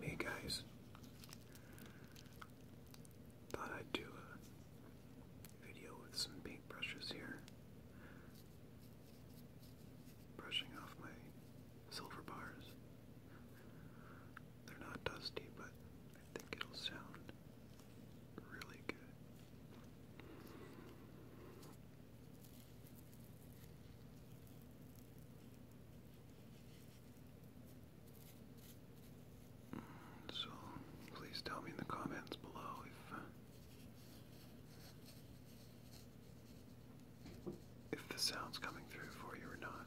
Hey guys, thought I'd do a video with some paintbrushes here. Brushing off my silver bars. They're not dusty, but I think it'll sound really good. So, please tell me in the comments below if uh, if the sound's coming through for you or not.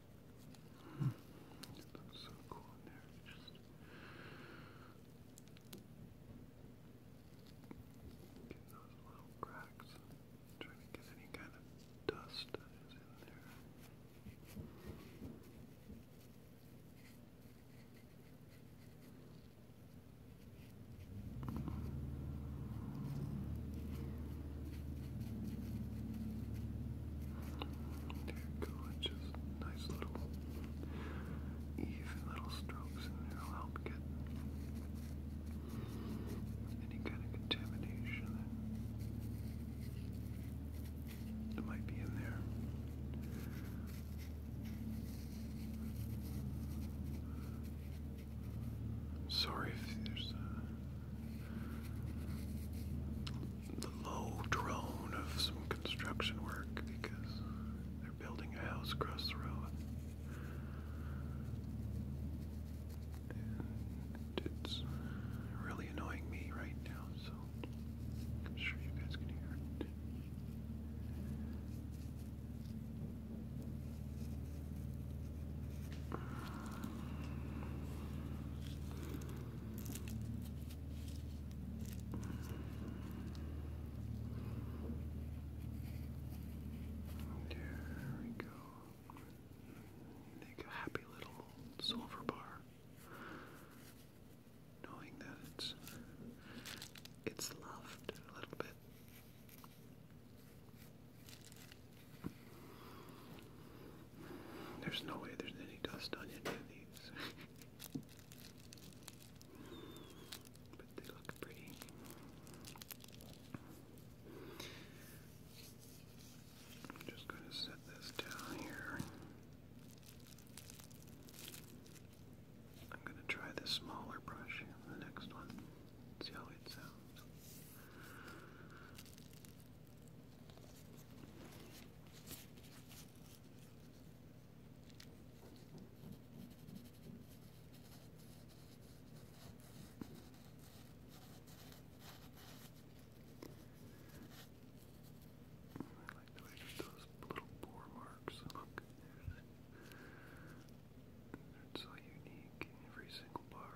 It looks so cool in there. just get those little cracks. i to get any kind of dust that is in there. There you go, just nice little even little strokes and it'll help get any kind of contamination that, might be in there. Sorry if there's the low drone of some construction work because they're building a house across the road. it's really annoying me right now, so I'm sure you guys can hear it. There we go. Make a happy little silver bar, knowing that it's it's loved a little bit. There's no way there's any dust on any of these. but they look pretty. I'm just going to set this down here. I'm going to try this smaller brush in the next one. See how it sounds. I like the way those little bore marks. Look, they're so unique every single bar.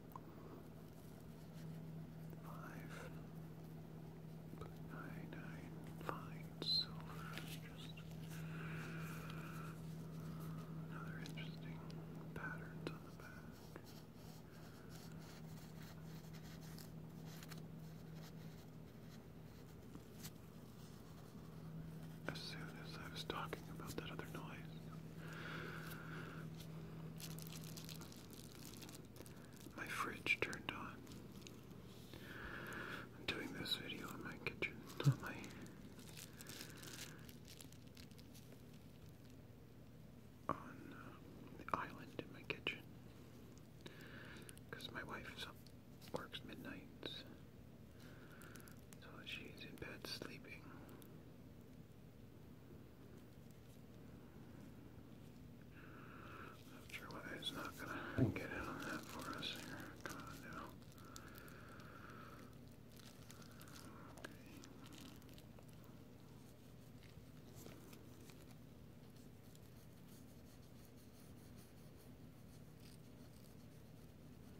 Five. Put silver, just another interesting patterns on the back as soon as I was talking about that other noise. My fridge turned on. I'm doing this video in my kitchen, not my. on uh, the island in my kitchen. Because my wife works midnights. So she's in bed sleeping. Sure, it's not gonna get in on that for us here. Come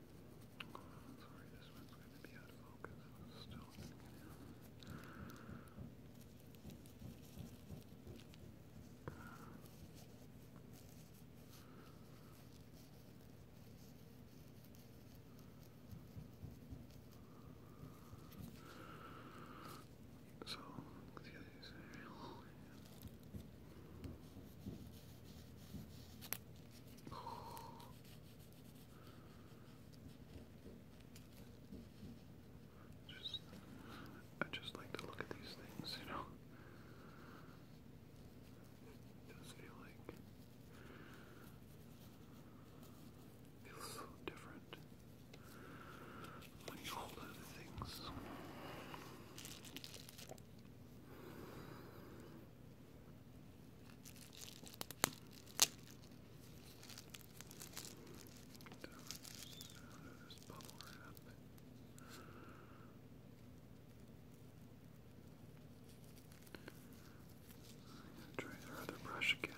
Sorry, this one's going to be out of focus. It's still going to get out. So, the other cereal. Oh, just, I just like to look at these things, you know. It does feel like feels so different when you hold other things this bubble wrap. I'm gonna try their other brush again.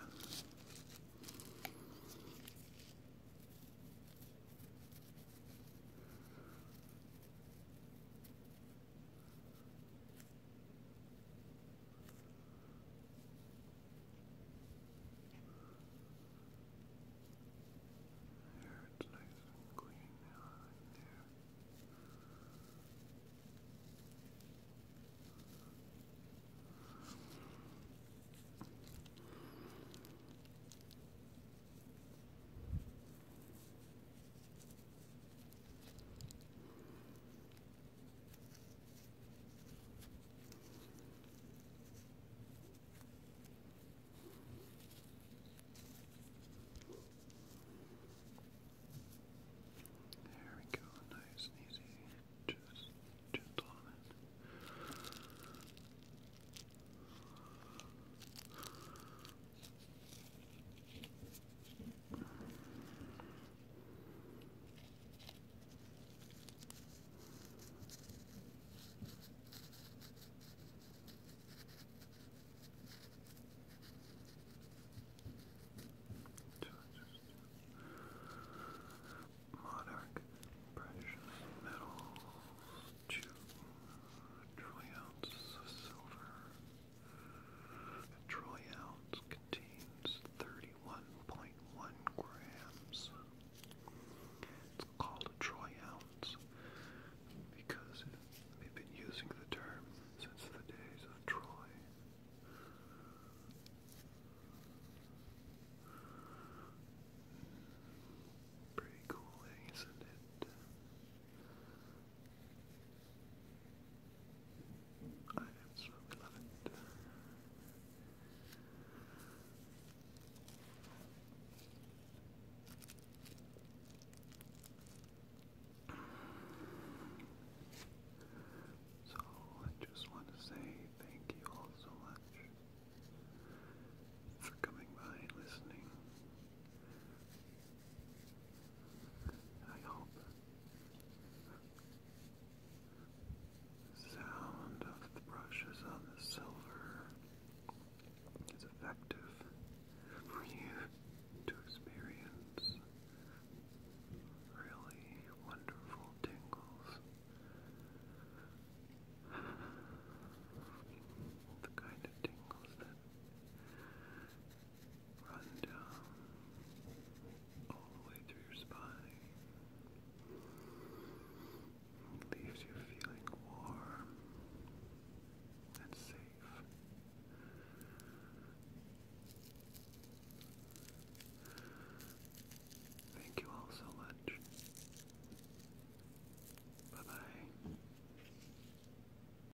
There, it's nice and clean now in there. There there we go, nice and easy, just gentlemen. All Monarch precious metals, two trillions of silver. A troy ounce contains 31.1 grams. It's called a troy ounce because they've been using the term since the days of Troy. Pretty cool, eh, is it? So I just want to say thank you all so much for coming by and listening. I hope sound of the brushes on the silver is effective for you to experience really wonderful tingles. The kind of tingles that run down all the way through your spine. leaves you feeling warm and safe. Thank you all so much. Bye bye.